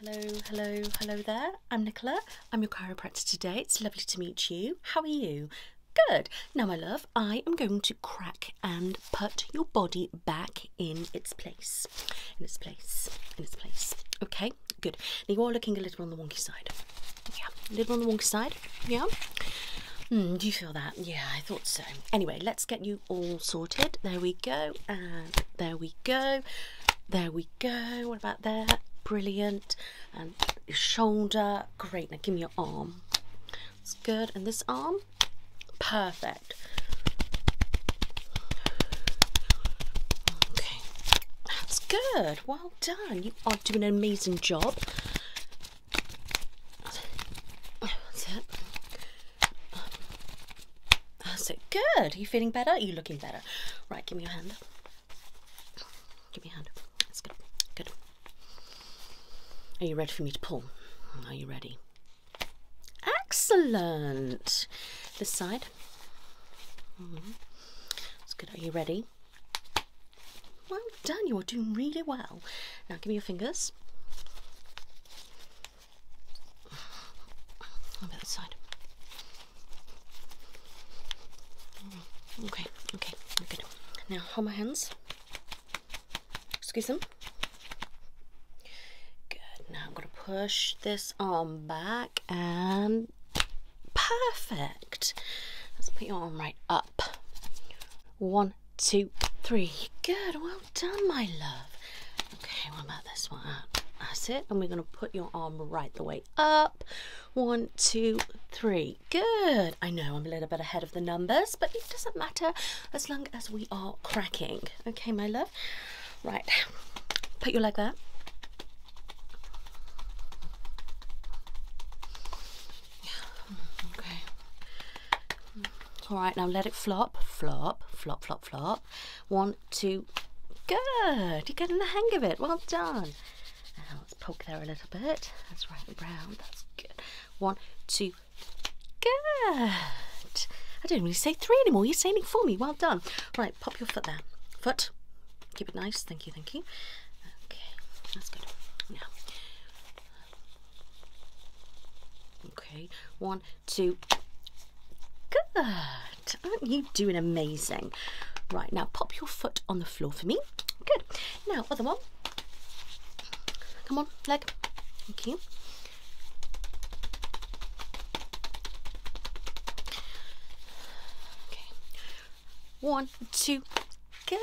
Hello, hello, hello there. I'm Nicola. I'm your chiropractor today. It's lovely to meet you. How are you? Good. Now, my love, I am going to crack and put your body back in its place. In its place. In its place. Okay, good. Now, you are looking a little on the wonky side. Yeah, a little on the wonky side. Yeah. Hmm, do you feel that? Yeah, I thought so. Anyway, let's get you all sorted. There we go there we go there we go what about that brilliant and shoulder great now give me your arm it's good and this arm perfect okay that's good well done you are doing an amazing job that's it that's it. Good. Are you feeling better? Are you looking better? Right, give me your hand. Give me your hand. That's good. Good. Are you ready for me to pull? Are you ready? Excellent. This side. Mm That's good. Are you ready? Well done. You're doing really well. Now give me your fingers i the side. Okay, okay, good. Now hold my hands. Squeeze them. Good. Now I'm gonna push this arm back and perfect. Let's put your arm right up. One, two, three. Good. Well done, my love. Okay, what about this one? Uh, that's it. And we're going to put your arm right the way up. One, two, three. Good. I know I'm a little bit ahead of the numbers, but it doesn't matter as long as we are cracking. Okay, my love. Right. Put your leg there. Okay. All right, now let it flop, flop, flop, flop, flop. One, two, good. You're getting the hang of it. Well done. Now let's poke there a little bit. That's right and round. That's good. One, two, good. I do not really say three anymore. You're saying it for me. Well done. Right, pop your foot there. Foot. Keep it nice. Thank you, thank you. Okay, that's good. Now. Okay, one, to good aren't you doing amazing right now pop your foot on the floor for me good now other one come on leg thank you okay one two good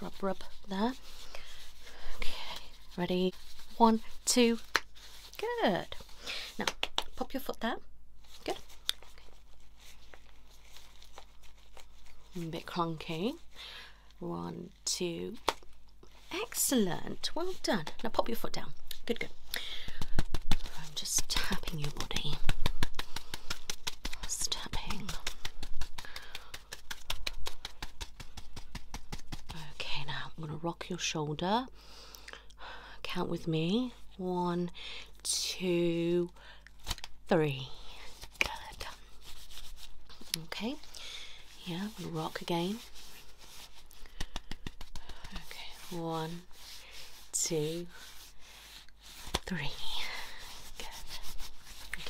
rub rub there okay Ready? One, two, good. Now, pop your foot down. Good. bit clunky. One, two. Excellent. Well done. Now pop your foot down. Good, good. I'm just tapping your body. Just Okay, now I'm gonna rock your shoulder. Count with me. One, two, three. Good. Okay. Yeah, I'm gonna rock again. Okay, one, two, three. Good. Okay.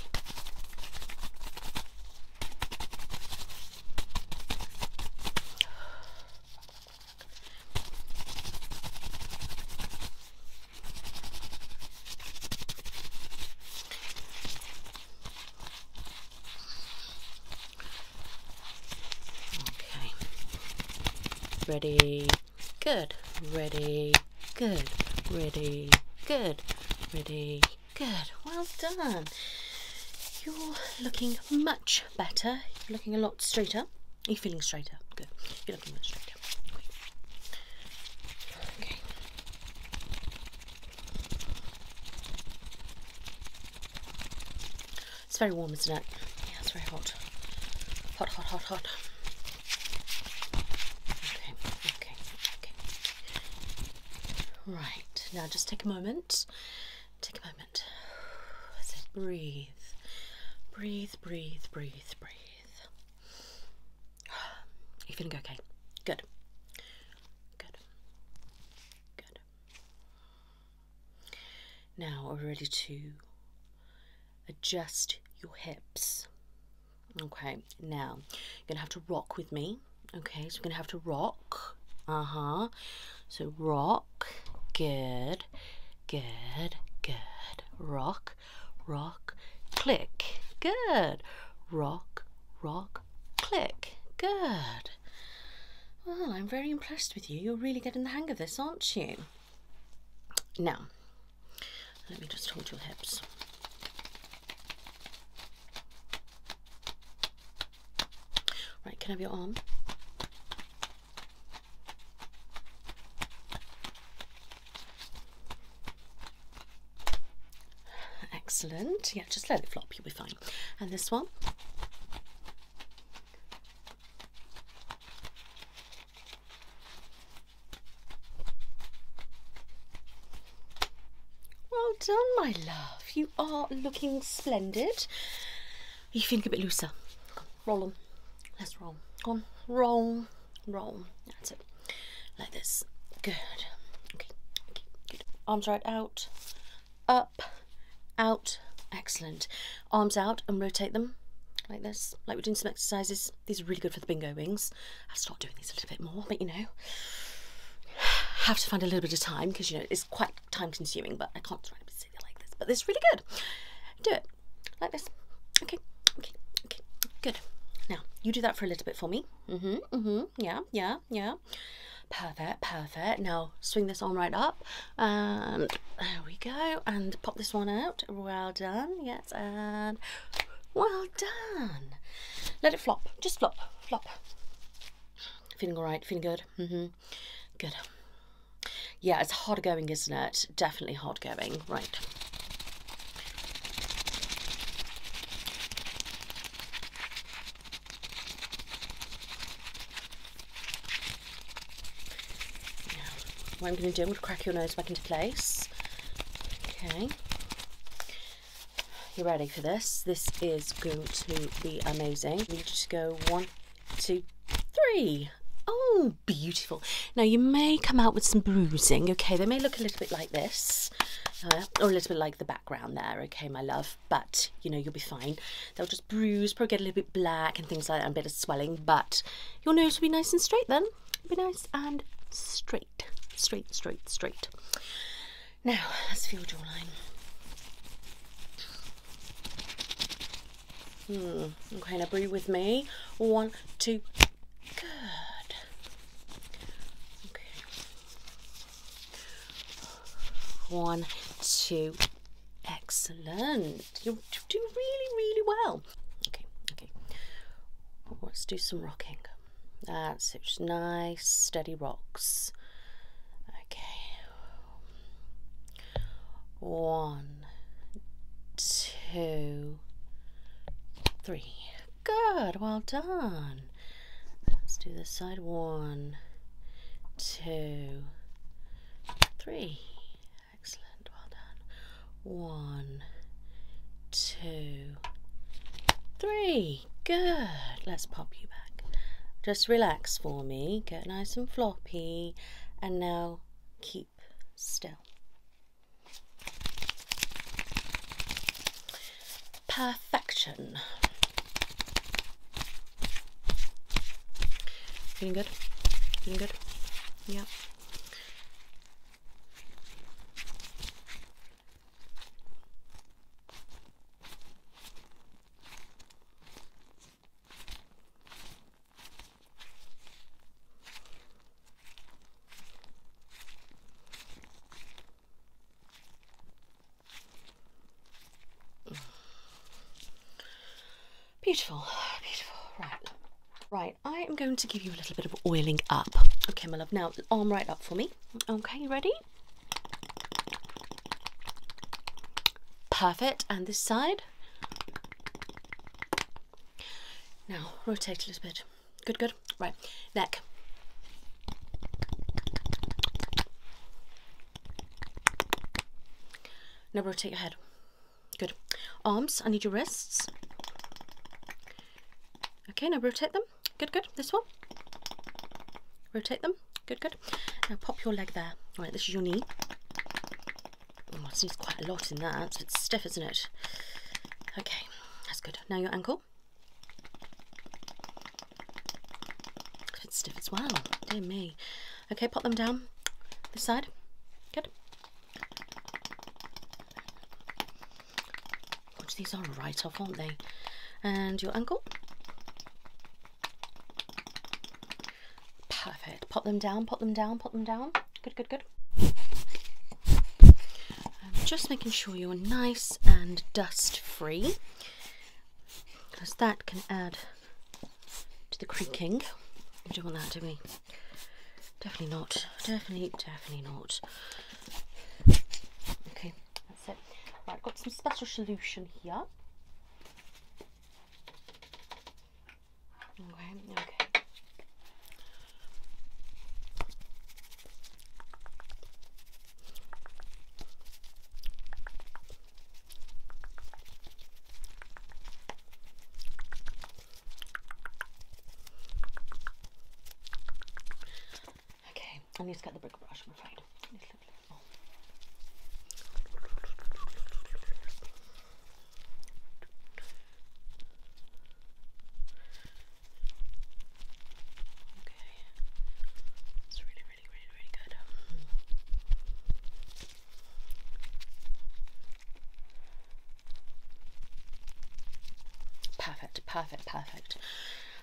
Ready, good, ready, good, ready, good, ready. Good, well done. You're looking much better. You're looking a lot straighter. Are you feeling straighter? Good. You're looking much straighter. It's very warm, isn't it? Yeah, it's very hot. Hot, hot, hot, hot. Okay, okay, okay. Right, now just take a moment. Take a moment. That's it. Breathe. Breathe, breathe, breathe, breathe. You feeling okay? Good. Good. Good. Now we're ready to adjust your hips. Okay, now you're gonna have to rock with me. Okay, so you're gonna have to rock. Uh huh. So rock. Good. Good. Good. Rock. Rock. Click. Good. Rock. Rock. Click. Good. Well, I'm very impressed with you. You're really getting the hang of this, aren't you? Now, let me just hold your hips. Right, can I have your arm? Excellent. Yeah, just let it flop, you'll be fine. And this one? Well done, my love. You are looking splendid. You are feeling a bit looser? Come roll on. Let's roll. Come on, roll, roll. That's it. Like this. Good. Okay, okay, good. Arms right out, up, out. Excellent. Arms out and rotate them like this, like we're doing some exercises. These are really good for the bingo wings. I will to start doing these a little bit more, but you know, have to find a little bit of time because you know it's quite time consuming, but I can't sit here like this. But this is really good. Do it like this. Okay, okay, okay, good. Now you do that for a little bit for me. Mm-hmm. hmm Yeah, yeah, yeah. Perfect, perfect. Now swing this on right up. And there we go. And pop this one out. Well done. Yeah, and well done. Let it flop. Just flop. Flop. Feeling all right. Feeling good. Mm hmm Good. Yeah, it's hard going, isn't it? Definitely hard going. Right. what I'm going to do, I'm going to crack your nose back into place. Okay. You are ready for this? This is going to be amazing. We just go one, two, three. Oh, beautiful. Now, you may come out with some bruising, okay? They may look a little bit like this, uh, or a little bit like the background there, okay, my love? But, you know, you'll be fine. They'll just bruise, probably get a little bit black and things like that, and a bit of swelling, but your nose will be nice and straight then. be nice and straight straight, straight, straight, Now, let's feel jawline. Hmm. Okay, agree with me. One, two, good. Okay. One, two, excellent. You're doing really, really well. Okay, okay. Let's do some rocking. That's it. Just nice, steady rocks. Okay. One, two, three. Good. Well done. Let's do the side. One, two, three. Excellent. Well done. One, two, three. Good. Let's pop you back. Just relax for me. Get nice and floppy. And now keep still. Perfection. Feeling good? Feeling good? Yeah. Beautiful, beautiful. Right, right. I am going to give you a little bit of oiling up. Okay, my love. Now, arm right up for me. Okay, ready? Perfect. And this side. Now, rotate a little bit. Good, good. Right, neck. Now we'll take your head. Good. Arms, I need your wrists. Okay, now rotate them. Good, good. This one. Rotate them. Good, good. Now pop your leg there. Right, this is your knee. Oh, it seems quite a lot in that. It's stiff, isn't it? Okay, that's good. Now your ankle. It's stiff as well. Dear me. Okay, pop them down. This side. Good. Which these are right off, aren't they? And your ankle. Perfect. Pop them down, pop them down, pop them down. Good, good, good. Um, just making sure you're nice and dust free because that can add to the creaking. We don't want that, to be. Definitely not. Definitely, definitely not. Okay, that's it. Right, I've got some special solution here. Okay, okay. Okay, I need to get the brick brush, I'm afraid. Oh. Okay, it's really, really, really, really good. Perfect, perfect, perfect.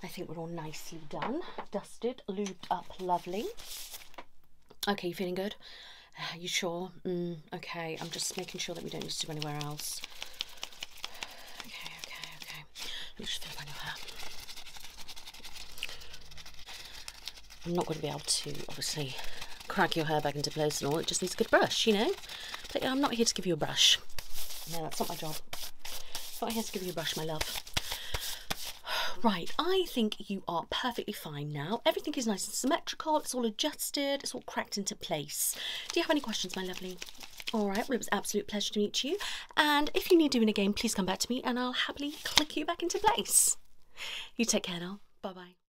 I think we're all nicely done. Dusted, lubed up, lovely. Okay, you feeling good? Are uh, you sure? Mm, okay, I'm just making sure that we don't need to do anywhere else. Okay, okay, okay. Let me just feel your hair. I'm not going to be able to, obviously, crack your hair back into place and all. It just needs a good brush, you know? But I'm not here to give you a brush. No, that's not my job. I'm not here to give you a brush, my love. Right, I think you are perfectly fine now. Everything is nice and symmetrical. It's all adjusted. It's all cracked into place. Do you have any questions, my lovely? All right, well, it was absolute pleasure to meet you. And if you need doing again, please come back to me and I'll happily click you back into place. You take care now. Bye-bye.